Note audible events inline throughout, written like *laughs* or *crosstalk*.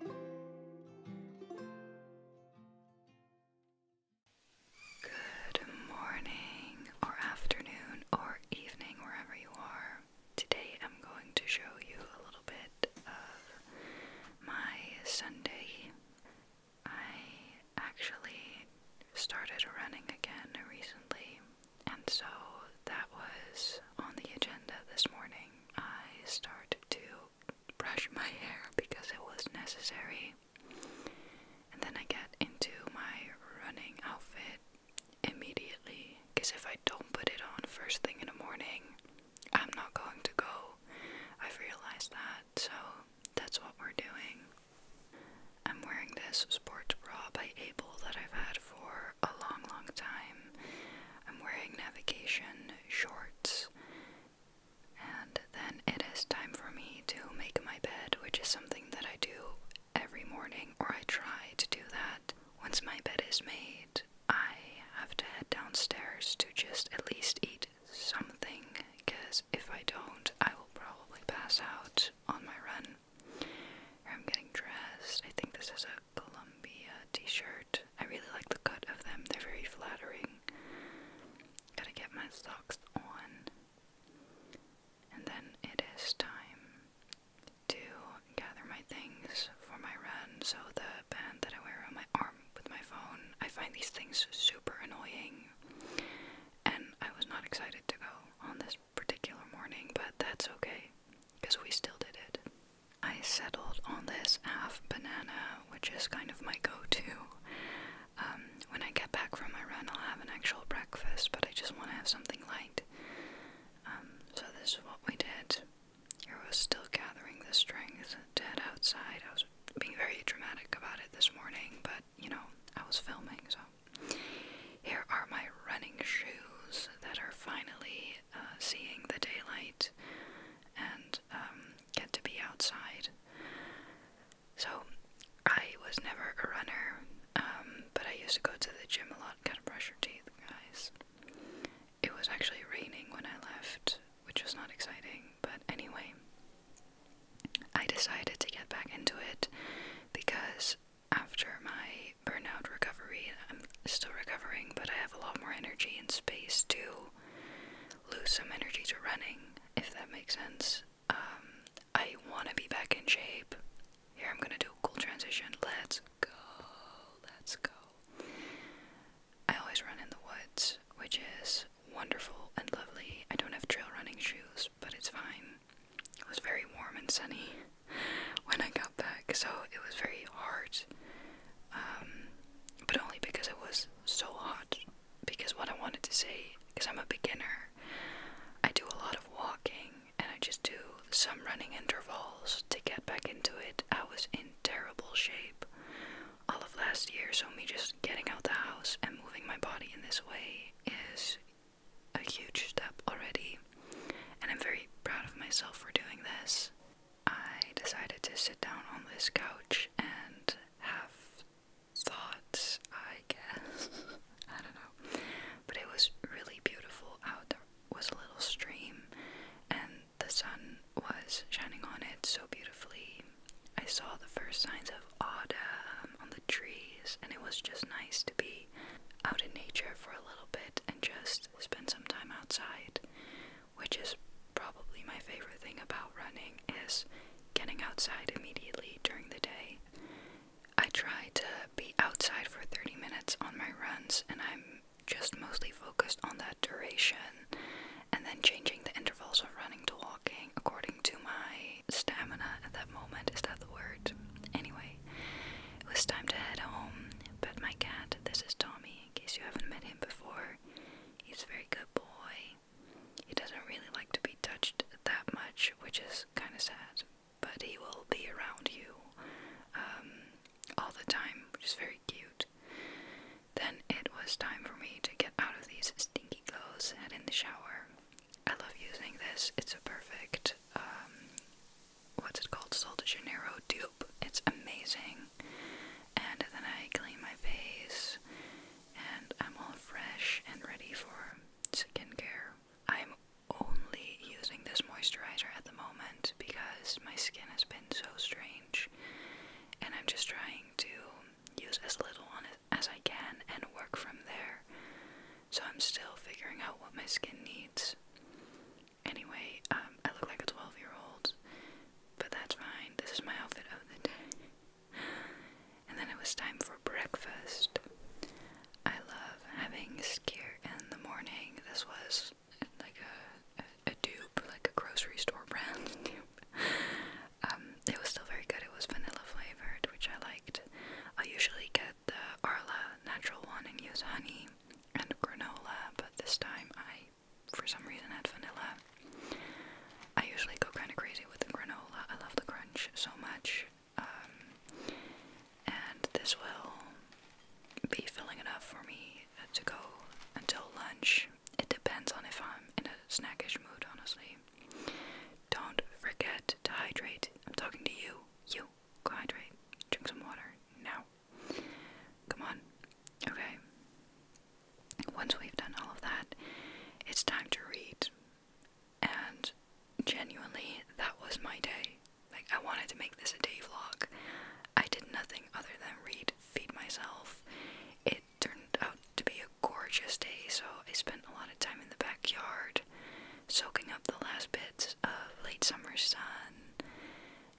Good morning, or afternoon, or evening, wherever you are. Today I'm going to show you a little bit of my Sunday. I actually started running again recently, and so that was on the agenda this morning. I started to brush my hair because it was necessary. And then I get into my running outfit immediately because if I don't put it on first thing in the morning, I'm not going to go. I've realized that, so that's what we're doing. I'm wearing this sports bra by Able that I've had for a long, long time. I'm wearing navigation shorts, and then it is time for me to make my bed, which is something that I do every morning, or I try to do that. Once my bed is made, I have to head downstairs to just at least eat something, because if I don't, I will probably pass out on my run I'm getting dressed. I think this is a Columbia t-shirt. I really like the cut of them. They're very flattering. Gotta get my socks on. And then it is time to gather my things for my run. So the band that I wear on my arm with my phone, I find these things super annoying. And I was not excited to go on this particular morning, but that's okay because we still did it. I settled on this half banana, which is kind of my go to. Um, when I get back from my run, I'll have an actual breakfast, but I just want to have something light. Um, so, this is what we did. Here was still gathering the strength to head outside. I was being very dramatic about it this morning, but you know, I was filming, so here are my running shoes that are finally uh, seeing the daylight and um, get to be outside. So, I was never a runner, um, but I used to go to the gym a lot, kind of brush your teeth, guys. It was actually raining when I left, which was not exciting, but anyway. I decided to get back into it because after my burnout recovery, I'm still recovering, but I have a lot more energy and space to lose some energy to running, if that makes sense. Um, I want to be back in shape. Here, I'm gonna do a cool transition. Let's go, let's go. I always run in the woods, which is wonderful and lovely. I don't have trail running shoes, but it's fine. It was very warm and sunny *laughs* when I got back, so it was very hard. Um, but only because it was so hot. Because what I wanted to say, because I'm a beginner, I do a lot of walking and I just do some running intervals to get back into it. I was in terrible shape all of last year, so me just getting out the house and moving my body in this way is a huge step already, and I'm very proud of myself for doing this. I decided to sit down on this couch and have thoughts, I guess. *laughs* I don't know. But it was really beautiful out. There was a little stream, and the sun was shining on it so beautifully. I saw the first signs of autumn on the trees, and it was just nice to be out in nature for a little bit and just spend some time outside, which is probably my favorite thing about running is getting outside immediately during the day. I try to be outside for 30 minutes on my runs, and I'm just mostly focused on that duration and then changing the intervals of running to walking according to my stamina at that moment. Is that the word? Anyway, it was time to head home, but my cat, this is Tommy, in case you haven't met him before, he's a very good boy. He doesn't really like to be touched that much, which is kind of sad, but he will be around you um, all the time, which is very cute. Then it was time for me to get out of these stinky clothes and in the shower. I love using this. It's a perfect, um, what's it called? Sol de Janeiro dupe. It's amazing. And then I clean my face and I'm all fresh and ready for skincare. I'm only using this moisturizer at the moment because my skin has been so strange, and I'm just trying to use as little on it as I can and work from there. So I'm still figuring out what my skin needs. Anyway, um, I look like a 12 year old, but that's fine. This is my outfit of the day. And then it was time for breakfast. I love having skier in the morning. This was like a, a, dupe, like a grocery store *laughs* brand um, it was still very good. It was vanilla flavored, which I liked. I usually get the Arla natural one and use honey and granola, but this time I, for some reason, had vanilla. I usually go kind of crazy with the granola. I love the crunch so much. Um, and this will be filling enough for me to go until lunch. It depends on if I'm in a snackish mood, honestly. Don't forget to hydrate. I'm talking to you. You, go hydrate. Drink some water now. Come on. Okay. Once we've done all of that, it's time to read and genuinely, that was my day. Like, I wanted to make this a day vlog. I did nothing other than read, feed myself. It turned out to be a gorgeous day, so I spent a lot of time in the backyard soaking up the last bits of late summer sun,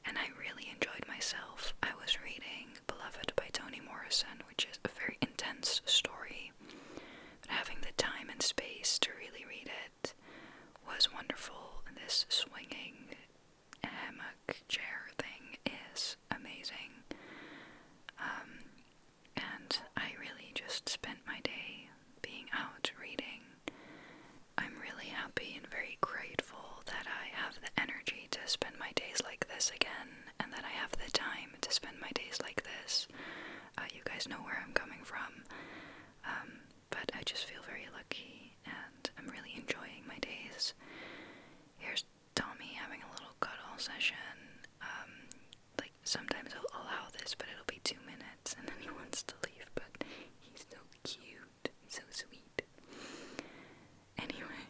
and I really enjoyed myself. I was reading Beloved by Toni Morrison, which is a very intense story having the time and space to really read it was wonderful. This swinging hammock chair thing is amazing. Um, and I really just spent my day being out reading. I'm really happy and very grateful that I have the energy to spend my days like this again, and that I have the time to spend my days like this. Uh, you guys know where I'm coming from. Um, but I just feel very lucky and I'm really enjoying my days. Here's Tommy having a little cuddle session. Um, like, sometimes I'll allow this, but it'll be two minutes and then he wants to leave, but he's so cute, so sweet. Anyway,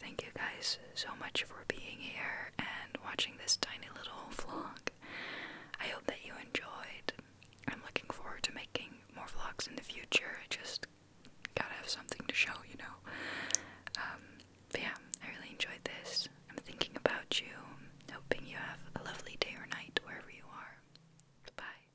thank you guys so much for being here and watching this tiny little *laughs* vlog. I hope that you enjoyed. I'm looking forward to making more vlogs in the future. I just gotta have something to show, you know. Um, yeah, I really enjoyed this. I'm thinking about you, hoping you have a lovely day or night wherever you are. Bye.